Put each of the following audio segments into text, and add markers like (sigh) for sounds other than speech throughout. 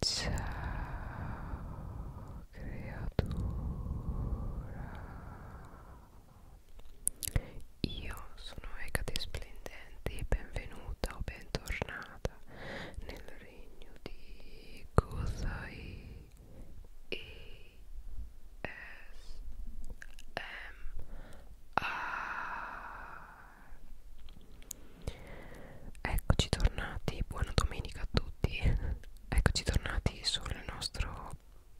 Ciao creatura Io sono Ecate Splendente e benvenuta o bentornata nel regno di Kusai E S M A Eccoci tornati, buona domenica a tutti Eccoci tornati sul nostro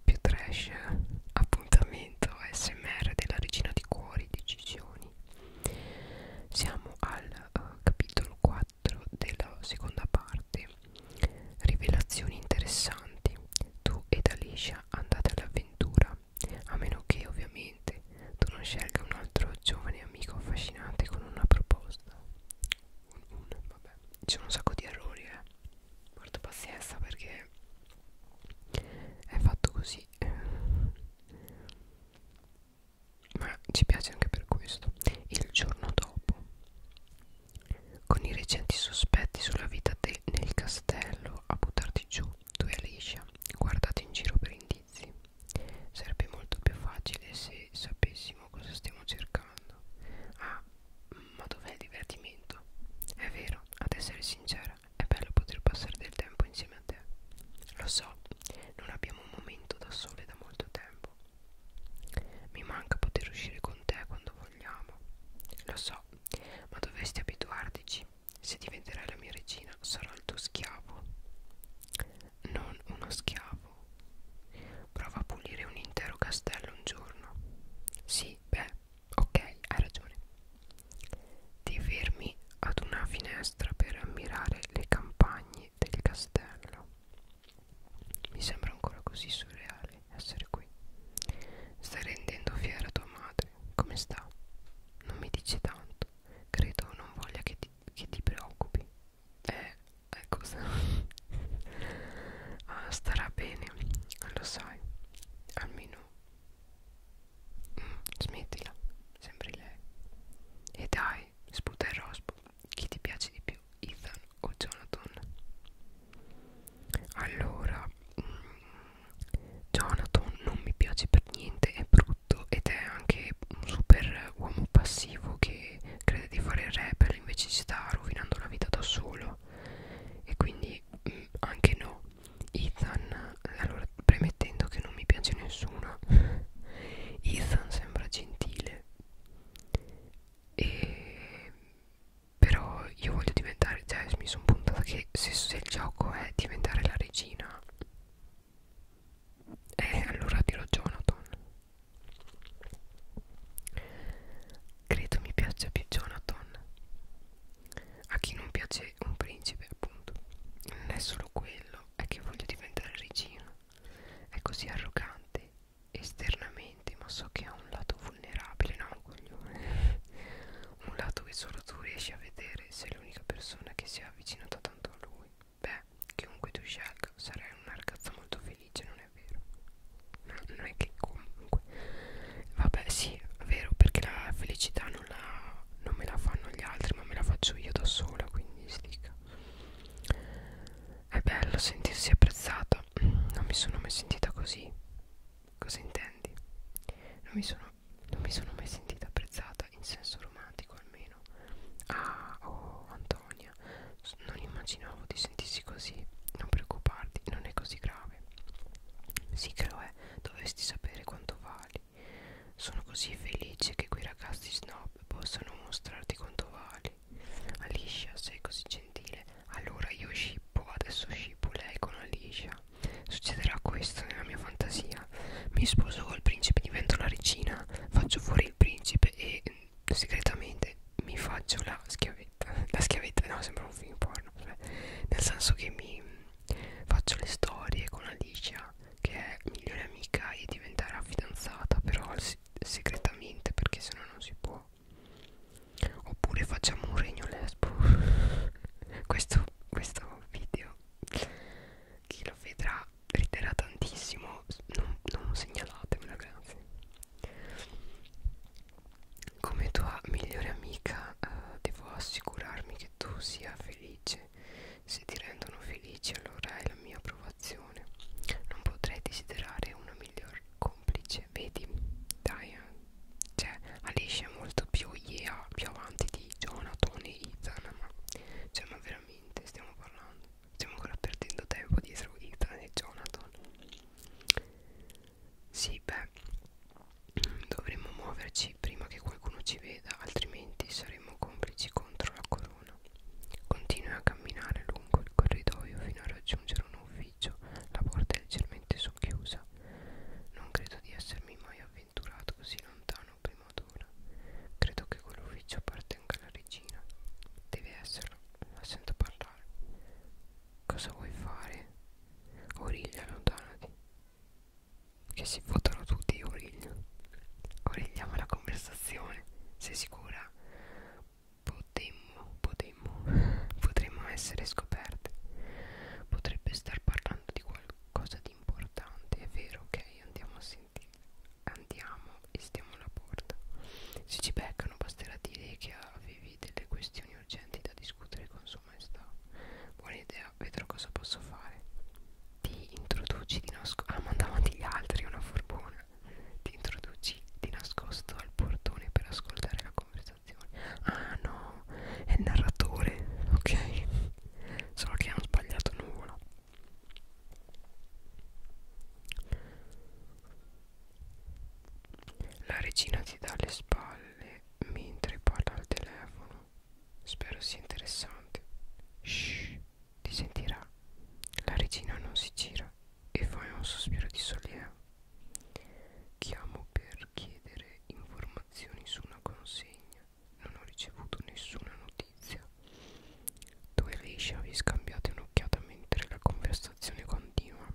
più trash appuntamento SMR della regina di cuori decisioni Siamo al uh, capitolo 4 della seconda parte Rivelazioni interessanti Tu ed Alicia andate all'avventura a meno che ovviamente che tu non scelga un altro giovane amico affascinante con una proposta. Un, un, vabbè, c'è un sacco di errori, eh. Porta pazienza perché è fatto così. Ma ci piace anche per questo. Il giorno dopo, con i recenti sospetti sulla vita nel castello a buttarti giù, tu e Alicia guardate in giro per indizi inizi. Sarebbe molto più facile se sapessimo cosa stiamo cercando. Ah, ma dov'è il divertimento? È vero, ad essere sincera, è bello poter passare del tempo insieme a te. Lo so, non abbiamo un momento da sole da molto tempo. Mi manca poter uscire con te quando vogliamo. Lo so, ma dovresti abituartici. Se diventerai la mia regina, sarò il tuo schiavo non uno schiavo. Prova a pulire un intero castello un giorno. Sì, beh, ok, hai ragione. Ti fermi ad una finestra per ammirare le campagne del castello. Mi sembra ancora così surreale essere qui. Stai rendendo fiera tua madre. Come sta? Non mi dici tanto. Credo non voglia che ti che ti preoccupi eh, è cosa ecco, (laughs) ah, starà bene lo sai almeno mm, smettila sempre lei e dai sputa il rospo chi ti piace di più Ethan o Jonathan allora mm, Jonathan non mi piace per niente è brutto tutto ed è anche un super uomo passivo che crede di fare il rapper invece si sta rovinando la vita da solo e quindi mh, mm, anche no Ethan allora premettendo che non mi piace nessuno (laughs) Ethan sembra gentile e però io voglio diventare cioè mi sono puntata che se, se il gioco è diventare la regina eh, allora dirò Jonathan. Credo mi piaccia più Jonathan. A chi non piace un principe, appunto. Non è solo quello, è che voglio diventare regina. È così arrogante esternamente, ma so che ha un lato vulnerabile, no, un coglione. (laughs) un lato che solo tu riesci a vedere, sei l'unica persona che si è avvicinata tanto a lui. Beh, chiunque tu scelga, sarai una ragazza molto felice, non è vero? No, non è che comunque... Vabbè, sì, è vero, perché la felicità non, la, non me la fanno gli altri, ma me la faccio io da sola, quindi stica. È bello sentirsi apprezzata, non mi sono mai sentita così. Cosa intendi? Non mi sono, non mi sono mai sentita apprezzata cantata in senso romantico almeno ah oh Antonia non immaginavo di sentirsi così non preoccuparti non è così grave sì che lo è dovresti sapere quanto vali sono così felice che quei ragazzi snob possano mostrarti quanto vali Alicia sei così gentile allora io scippo adesso scippo lei con Alicia succederà questo nella mia fantasia regina mi sposo col principe divento la regina faccio fuori il principe e mm, segretamente mi faccio la schiavetta (laughs) la schiavetta no sembra un film porno cioè, nel senso che mi mm, faccio le storie con Alicia che è migliore amica e diventerà fidanzata però segretamente perché sennò non si può oppure facciamo un regno lesbo (laughs) questo, questo video chi lo vedrà riderà tantissimo non, non segnalatemela grazie come tua migliore amica eh, devo assicurarmi che tu sia felice se ti rendono felice allora è la mia approvazione non potrei desiderare una miglior complice vedi dai eh. cioè Alicia è molto più yeah, più avanti di Jonathan e Ethan ma, cioè, ma veramente veramente stiamo parlando? Stiamo ancora perdendo tempo dietro Ethan e Jonathan. Sì, beh, dovremmo muoverci prima che qualcuno ci veda, altrimenti saremo complici contro la corona. Continui a camminare lungo il corridoio fino a raggiungere un ufficio, la porta è leggermente socchiusa. Non credo di essermi mai avvicinato avventurato così lontano prima d'ora Credo che quell'ufficio appartenga alla regina Deve esserlo, la sento parlare Cosa vuoi fare? Origlia, allontanati Che si votano tutti, Origlia Origliamo la conversazione Sei sicura? Potemmo, potemmo Potremmo essere scoperte Potrebbe star parlando di qualcosa di importante È vero, ok, andiamo a sentire Andiamo e stiamo alla porta. Se ci beccano basterà dire che avevi delle questioni urgenti da discutere con sua maestà. Buona idea, vedrò cosa posso fare. Ti introduci di nascosto. Ah, ma davanti gli altri, una forbona. Ti introduci di nascosto al portone per ascoltare la conversazione. Ah no, è il narratore, ok. Solo che hanno sbagliato nuvola. La regina ti dà le spalle mentre parla al telefono. Spero sia interessante. Shh, ti sentirà. La regina non si gira e fa un sospiro di sollievo. Chiamo per chiedere informazioni su una consegna non ho ricevuto nessuna notizia. Tu e Leisha vi scambiate un'occhiata mentre la conversazione continua.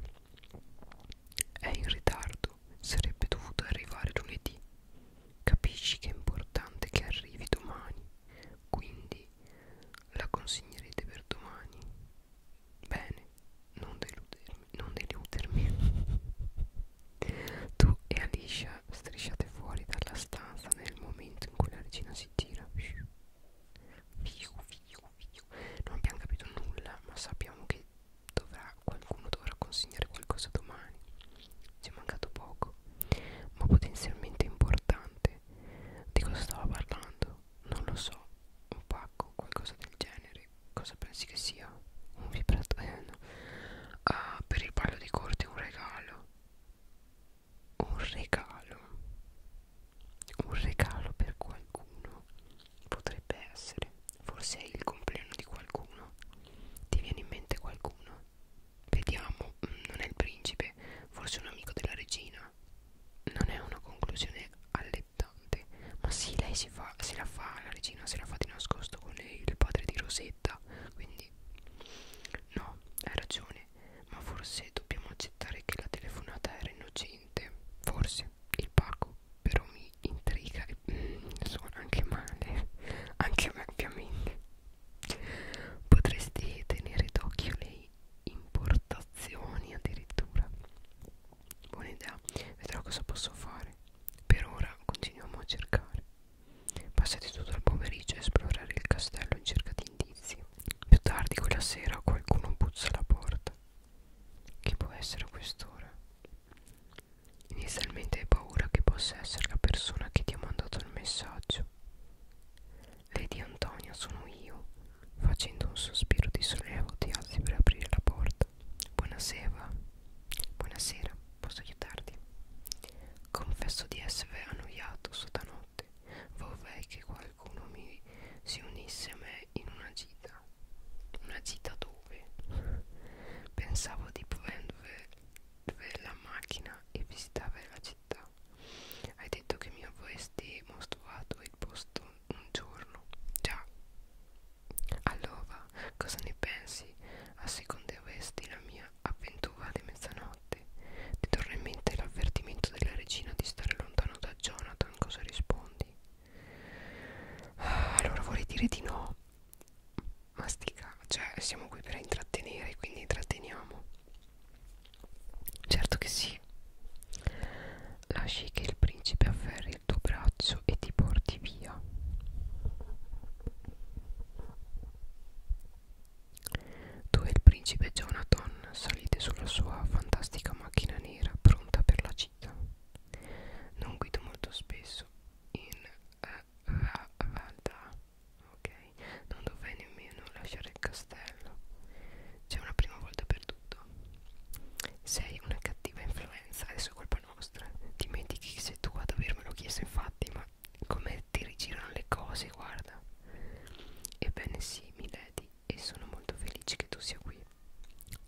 È in ritardo, sarebbe dovuto arrivare lunedì. Capisci che è importante che arrivi domani, quindi la consegnerete per domani. Bene, non deludermi, non deludermi. (laughs) tu e Alicia strisciate fuori dalla stanza nel momento in cui la regina si gira fiu, fiu, fiu, fiu. non abbiamo capito nulla ma sappiamo che dovrà, qualcuno dovrà consegnare qualcosa domani ci è mancato poco ma potenzialmente importante di cosa stava parlando? non lo so un pacco, qualcosa del genere cosa pensi che sia? un vibratore? Eh, no. Ah, per il ballo di corte un regalo un regalo un regalo per qualcuno potrebbe essere forse è il compleanno di qualcuno ti viene in mente qualcuno vediamo mm, non è il principe forse un amico della regina non è una conclusione allettante ma sì lei si fa, se la fa la regina se la fa di nascosto con lei, il padre di Rosetta quindi quindi No, hai ragione Ma forse dobbiamo accettare che la telefonata era innocente Forse Il pacco però mi intriga e mm, suona anche male Anche a me ovviamente Potresti tenere d'occhio le importazioni addirittura Buona idea, vedrò cosa posso fare. Per ora continuiamo a cercare. Passati tutto il pomeriggio a esplorare il castello in cerca di indizi. Più tardi quella sera qualcuno puzza alla porta. Chi può essere quest'ora? Inizialmente hai paura che possa essere la persona che ti ha mandato il messaggio. Lady Antonia sono io. Facendo un sospiro di sollievo ti alzi per aprire la porta. Buonasera. Buonasera, posso aiutarti? Confesso di essere annoiato sotanotte. Vorrei che qualcuno mi si unisse a me in una gita. Una gita dove? Pensavo di prendere la macchina e visitare la città. Hai detto che mi avresti mostrato il posto un giorno. Già. Allora, cosa ne pensi? Asseconderesti la mia avventura di mezzanotte ti torna in mente l'avvertimento della regina di stare lontano da Jonathan cosa rispondi? Ah, allora vorrei dire di no ma stica cioè siamo qui per intrattenere quindi intratteniamo certo che sì lasci che il principe afferri il tuo braccio e ti porti via dove il principe Jonathan salite sulla sua fantastica macchina nera pronta per la città. Non guido molto spesso in uh, eh, Valda, ok? Non dovrei nemmeno lasciare il castello. C'è una prima volta per tutto. Sei una cattiva influenza, adesso è colpa nostra. Dimentichi che sei tu ad avermelo chiesto, infatti, ma come ti rigirano le cose, guarda. Ebbene sì, Milady, e sono molto felice che tu sia qui.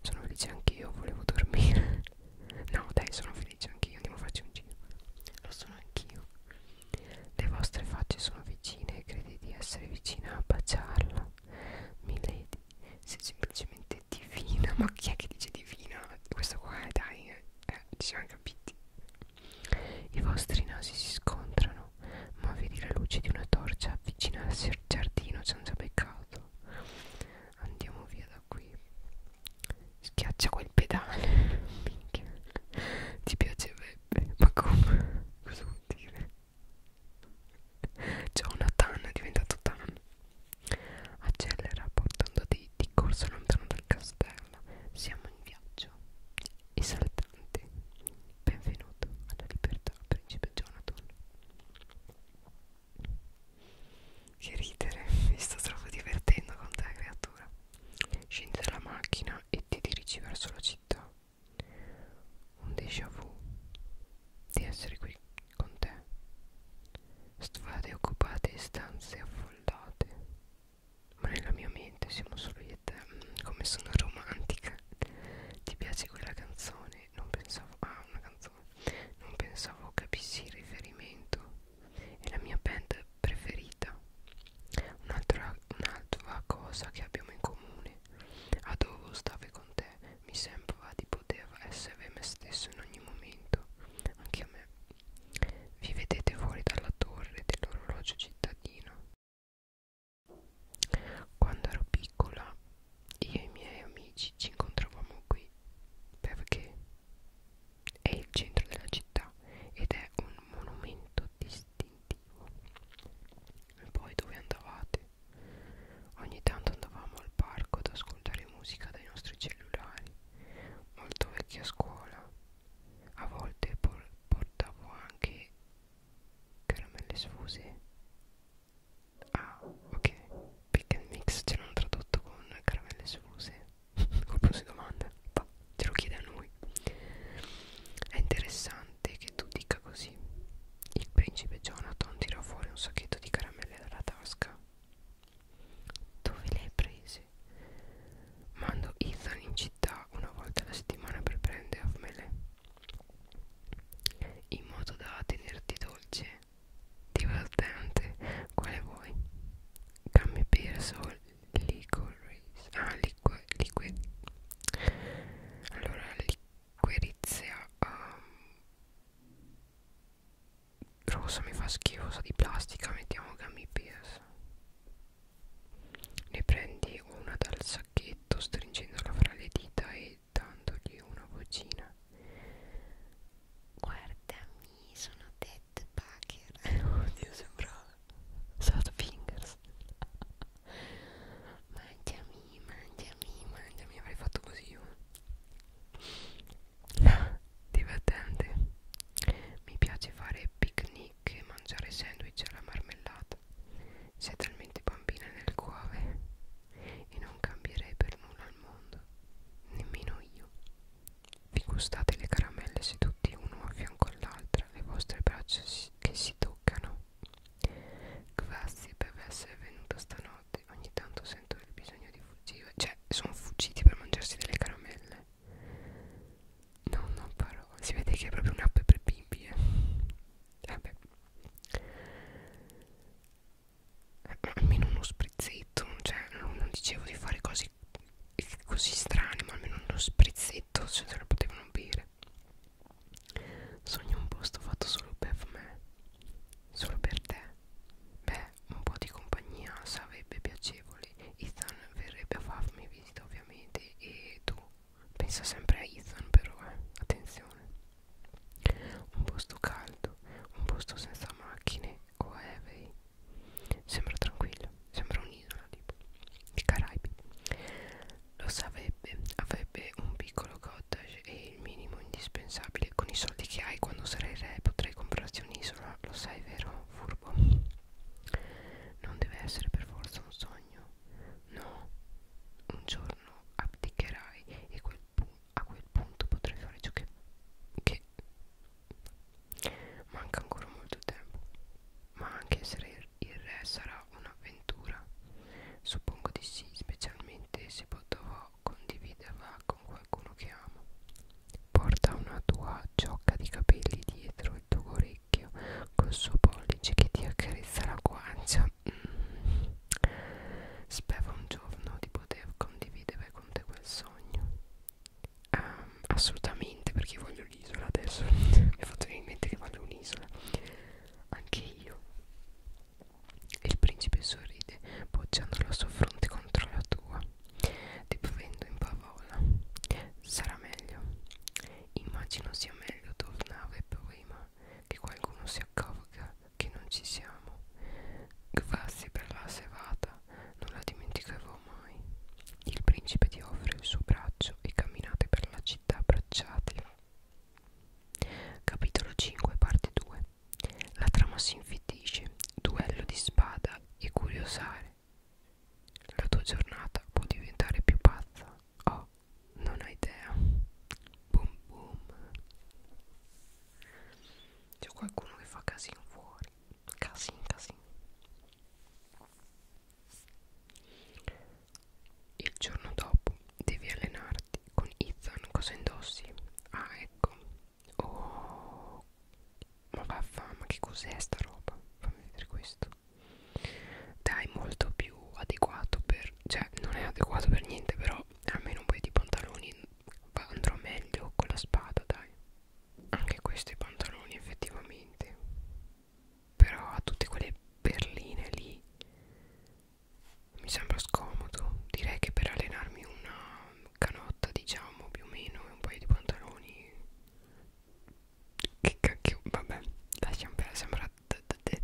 Sono felice anch'io, volevo dormire. (laughs) no, dai, sono felice anch'io, andiamo a farci un giro. Lo sono anch'io. Le vostre facce sono vicine e credi di essere vicina a baciarla. Milady, sei semplicemente divina. (laughs) Ma chi è che dice divina? Questo qua, dai, eh, eh ci siamo capiti. I vostri nasi si scontrano, ma vedi la luce di una torcia avvicinarsi al giardino senza peccato. Andiamo via da qui. Schiaccia quel pedale. (laughs) Minchia. Ti piacerebbe? Ma come? Cosa vuol dire? C'è una tan, è diventato tan. Accelera portando dei di corsa lontano dal castello. Siamo in viaggio. I saltanti. Benvenuto alla libertà, principe Jonathan. Che ridere, mi sto troppo divertendo con te, creatura. Scendi dalla macchina e ti dirigi verso la città. Un déjà vu di essere qui con te. Strade occupate e stanze affollate ma nella mia mente siamo solo io e te mm, come sono romantica ti piace quella canzone non pensavo ah una canzone non pensavo capissi il riferimento è la mia band preferita un'altra un cosa che abbiamo in comune adoro stare con te mi sembrava di poter essere me stesso in ogni momento anche a me vi vedete fuori dalla torre dell'orologio cittadino. Quando ero piccola, io e i miei amici ci incontravamo qui perché è il centro della città ed è un monumento distintivo. E poi dove andavate? Ogni tanto andavamo al parco ad ascoltare musica dai nostri cellulari. Molto vecchia scuola, a volte por portavo anche caramelle sfuse ah ok pick and mix ce l'hanno tradotto con caramelle sfuse colpo (laughs) di domanda bah, te lo chiede a noi è interessante che tu dica così il principe Jonathan tirò fuori un sacchetto di caramelle dalla tasca dove le hai prese? Mando Ethan in città una volta alla settimana per prendermele In modo da tenerti dolce Divertente Quale vuoi? Gummy bears o licorice? Ah, liquid, liquid Allora liquirizia um, rossa mi fa schifo sa di plastica mettiamo gummy bears ne prendi una dal sacchetto stringendola fra le dita e dandogli una vocina guardami sono Ted Baker (laughs) oddio sembrava Sadfingers mangiami mangiami mangiami avrei fatto così io divertente mi piace fare picnic e mangiare sandwich alla marmellata sei talmente bambina nel cuore e non cambierei per nulla al mondo nemmeno io vi gustate le caramelle seduti uno a fianco all'altra le vostre braccia si, che si toccano grazie per essere venuto stanotte ogni tanto sento il bisogno di fuggire cioè sono fuggiti per mangiarsi delle caramelle No, non parlo. Si vede che è proprio un'app per bimbi. Eh. Vabbè. Almeno uno sprizzetto. Cioè, non, non dicevo di fare cose così strane, ma almeno uno sprizzetto se cioè, lo potevano bere. Sogno un posto fatto solo per me. Solo per te. Beh, un po' di compagnia sarebbe piacevole Ethan verrebbe a farmi visita ovviamente e tu pensa sempre a Ethan però eh, attenzione un posto caldo un posto senza macchine o aerei sembra tranquillo sembra un'isola tipo i Caraibi lo sarebbe avrebbe un piccolo cottage e il minimo indispensabile con i soldi che hai quando sarai re potrai comprarti un'isola lo sai vero furbo corpo. Non deve essere per forza un sogno. No, un giorno abdicherai e quel a quel punto potrai fare ciò che, che manca ancora molto tempo. Ma anche essere il re sarà un'avventura. Suppongo di sì, specialmente se potrò condividerla con qualcuno che amo. Porta una tua giocca di capelli dietro il tuo orecchio col suo pollice che ti accarezza la guancia. Mm. Spero un giorno di poter condividere con te quel sogno. Um, assolutamente, perché voglio l'isola adesso. (laughs) Mi è fatto venire in mente che voglio un'isola. Anche io. Il principe sorride, poggiando la sua fronte contro la tua. Tipo vendo in parola. Sarà meglio. Immagino sia meglio tornare prima che qualcuno si accorga che non ci siamo. Grazie per la serata, non la dimenticherò mai. Il principe ti offre il suo braccio e camminate per la città abbracciati. Capitolo 5, parte 2. La trama si infittisce, duello di spada e curiosare. La tua giornata può diventare più pazza. Oh, non hai idea. Boom boom. C'è qualcuno che fa casino fuori. Casino, casino. Il giorno dopo devi allenarti con Ethan. Cosa indossi? Ah, ecco. Oh, ma vaffa, ma che cos'è sta roba? Fammi vedere questo. Dai, molto più adeguato per... Cioè, non è adeguato per niente, però almeno un paio di pantaloni andrò meglio con la spada, dai. Anche questi pantaloni, effettivamente. Però a tutte quelle berline lì mi sembra scomodo. Direi che per allenarmi una canotta diciamo più o meno e un paio di pantaloni che cacchio vabbè lasciamo per sembra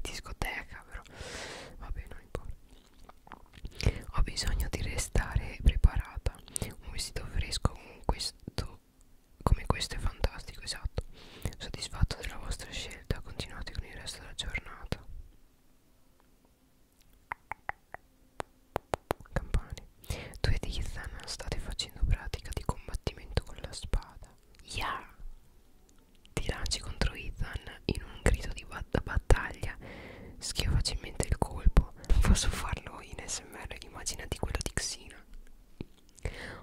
discoteca però vabbè non importa ho bisogno di restare preparata un vestito fresco con questo come questo è fantastico esatto soddisfatto della vostra scelta continuate con il resto della giornata Campane. Due di Ethan hanno state facendo pratica di combattimento con la spada. Yeah! Ti lanci contro Ethan in un grido di bat battaglia. Schia facilmente il colpo. Non posso farlo in SMR, immaginati quello di Xina.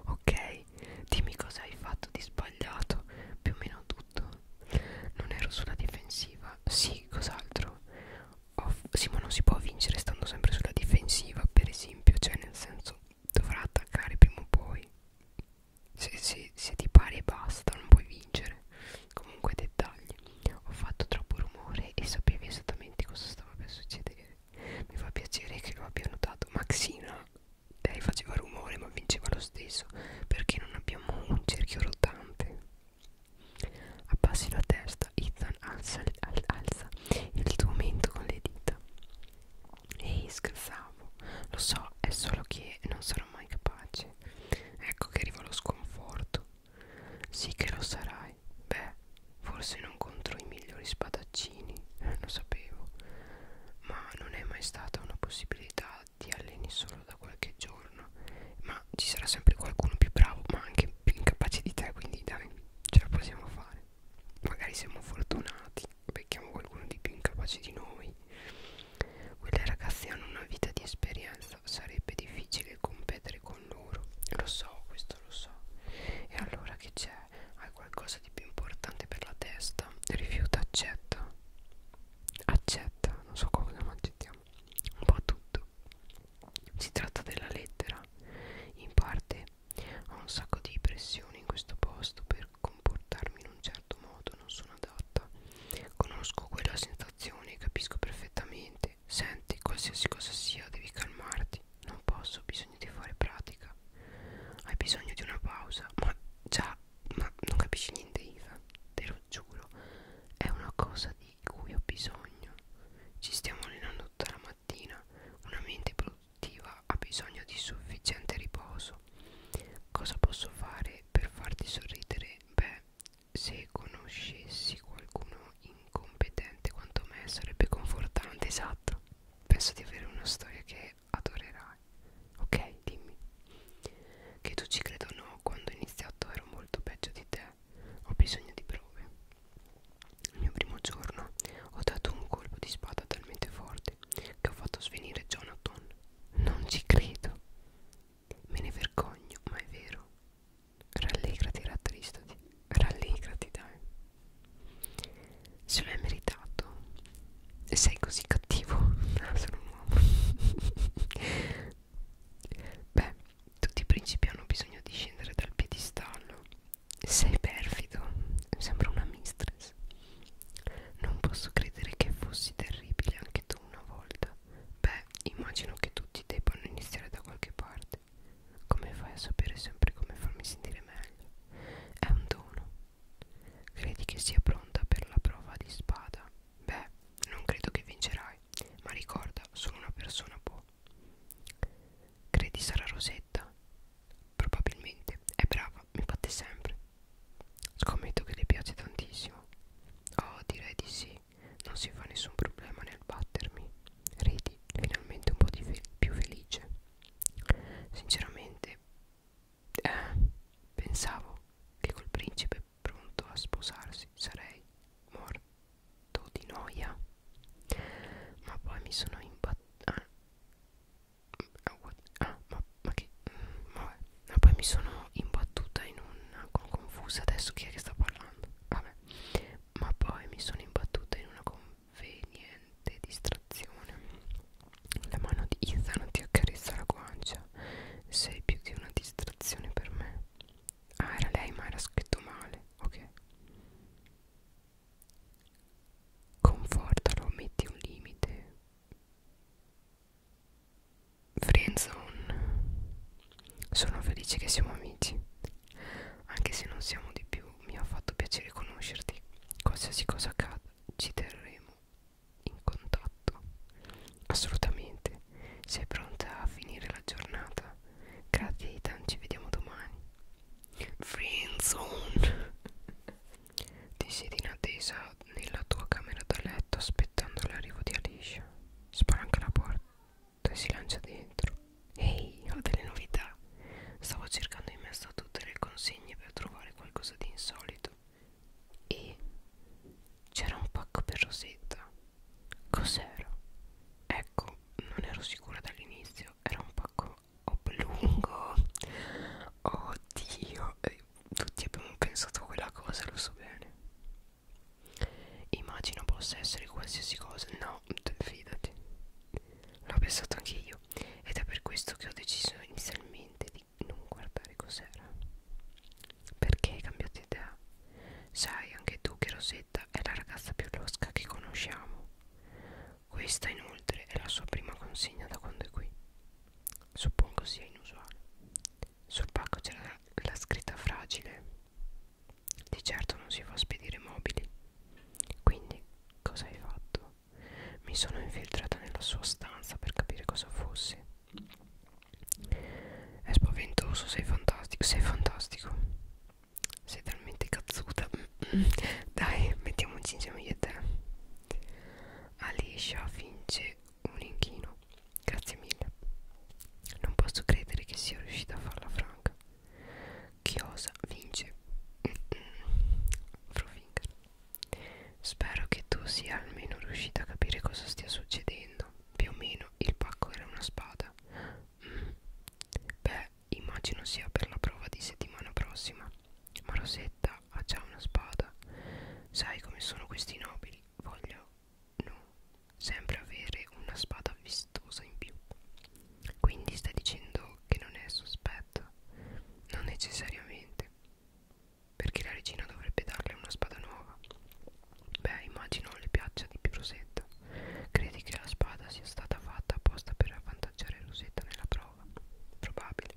Ok, dimmi cosa hai fatto di sbagliato. Più o meno tutto. Non ero sulla difensiva. Sì, cos'altro? sì, ma non si può vincere stando sempre sulla difensiva, per esempio, cioè nel senso dovrà attaccare prima o poi. Se, se, se ti pari e basta, non puoi vincere. Comunque dettagli. Ho fatto troppo rumore e sapevi esattamente cosa stava per succedere. Mi fa piacere che lo abbia notato. Maxina, lei faceva rumore ma vinceva lo stesso perché non abbiamo un cerchio rotante. Abbassi la testa, Ethan alza, al, alza il tuo mento con le dita. Ehi, scherzavo, lo so, è solo che non sarò mai capace. Ecco che arriva lo sconforto. Sì che lo sarai. Beh, forse non contro i migliori spadaccini, (laughs) lo sapevo. Ma non è mai stata una possibilità ti alleni solo da qualche giorno, ma ma ci sarà sempre qualcuno più bravo ma anche più incapace di te quindi dai ce la possiamo fare magari siamo fortunati becchiamo qualcuno di più incapace di noi quelle ragazze hanno una vita di esperienza sarebbe difficile competere con loro lo so questo lo so e allora che c'è hai qualcosa di più importante per la testa rifiuta accetta accetta non so cosa ma accettiamo un po' tutto si tratta della lettera in parte ho un sacco di pressione in questo posto per comportarmi in un certo modo, non sono adatta. Conosco quella sensazione, capisco perfettamente. Senti, qualsiasi cosa sia, devi calmarti. Non posso, ho bisogno di fare pratica. Hai bisogno di una pausa. Ma già, ma non capisci niente, Iva, te lo giuro. È una cosa di cui ho bisogno. Ci stiamo allenando tutta la mattina. Una mente produttiva ha bisogno di sufficiente riposo. Cosa posso fare per farti sorridere? Beh, se conoscessi qualcuno incompetente quanto me sarebbe confortante, esatto. Penso di avere una storia che adorerai. Ok, dimmi. Che tu ci credo o no, quando ho iniziato ero molto peggio di te ho bisogno di prove. Il mio primo giorno ho dato un colpo di spada talmente forte che ho fatto svenire Jonathan. Non ci credo. Me ne vergogno, ma è vero. Rallegrati, rattristati. Rallegrati, dai. Se lo è meritato. E sei così cattivo. Ah, (laughs) sono un uomo. (laughs) Beh, tutti i principi hanno bisogno di scendere dal piedistallo. Sei perfido, sembra una mistress. Non posso credere che fossi terribile anche tu una volta. Beh, immagino che tutti debbano iniziare da qualche parte. Come fai a sapere sempre come farmi sentire meglio? È un dono. Credi che sia pronta per la prova di spada? Beh, non credo che vincerai ma ricorda, solo una persona può. Credi sarà Rosetta? Probabilmente. È brava, mi batte sempre. Scommetto che le piace tantissimo. Oh, direi di sì. Non si fa nessun problema nel battermi. Ridi, finalmente un po' di fe più felice. Sinceramente, eh, pensavo che col principe pronto a sposarsi sarei morto di noia ma poi mi sono imbattuta ah, ah, ah, ma, ma che mm, vabbè. ma poi mi sono imbattuta in una con, confusa adesso chi è che sta parlando vabbè ma poi mi sono imbattuta in una conveniente distrazione la mano di Ethan ti accarezza la guancia sei più che una distrazione per me Ah era lei ma era scritto male Ok Confortalo Metti un limite Friendzone Sono felice che siamo amici Anche se non siamo di più Mi ha fatto piacere conoscerti Qualsiasi cosa accada Ci terremo in contatto assolutamente sei pronta a finire la giornata? Grazie Ethan, ci vediamo domani. Friendzone! (laughs) Ti siedi in attesa nella tua camera da letto aspettando l'arrivo di Alicia. Spalanca la porta e si lancia dentro. Ehi, ho delle novità. Stavo cercando in mezzo a tutte le consegne per trovare qualcosa di insolito. E c'era un pacco per Rosetta. Cos'era? Ecco, non ero sicura dall'inizio, era un pacco oblungo. Oh, Oddio, eh, tutti abbiamo pensato a quella cosa, lo so bene. Immagino possa essere qualsiasi cosa. No, fidati. L'ho pensato anche io ed è per questo che ho deciso inizialmente di non guardare cos'era. Perché hai cambiato idea? Sai anche tu che Rosetta Elisabetta è la ragazza più losca che conosciamo. Questa inoltre è la sua prima consegna da quando è qui. Suppongo sia inusuale. Sul pacco c'era la scritta fragile. Di certo non si fa spedire mobili. Quindi cosa hai fatto? Mi sono infiltrata nella sua stanza per capire cosa fosse. È spaventoso, sei fantastico, sei fantastico sei talmente cazzuta (clears throat) dai mettiamoci insieme io e te Alicia finge un inchino grazie mille non posso credere che sia riuscita a farla franca Chiosa vince Frofinger (clears throat) spero che tu sia almeno riuscita a capire cosa stia succedendo più o meno il pacco era una spada Beh, immagino sia per la prova di settimana prossima. Ma Rosetta ha già una spada. Sai come sono questi nobili? Voglio, no, sempre avere una spada vistosa in più. Quindi stai dicendo che non è sospetto? Non necessariamente. Perché la regina dovrebbe darle una spada nuova. Beh, immagino le piaccia di Rosetta. Credi che la spada sia stata fatta apposta per avvantaggiare Rosetta nella prova? Probabile.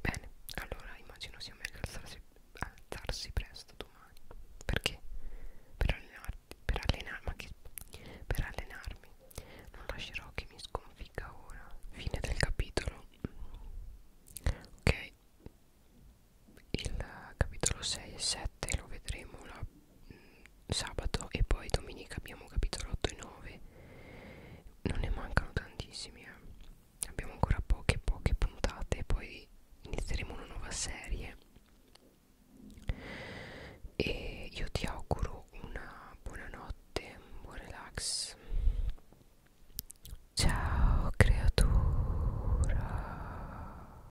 Bene, allora immagino sia meglio alzarsi, alzarsi presto domani. Perché? Per allenarti, per allenarmi, ma che, per allenarmi. Non lascerò che mi sconfigga ora. Fine del capitolo. Ok il capitolo 6 e 7 lo vedremo la, mh, mm, sabato e poi domenica abbiamo capitolo 8 e 9 non ne mancano tantissimi eh. abbiamo ancora poche poche puntate e poi inizieremo una nuova serie e io ti auguro una buonanotte un buon relax ciao creatura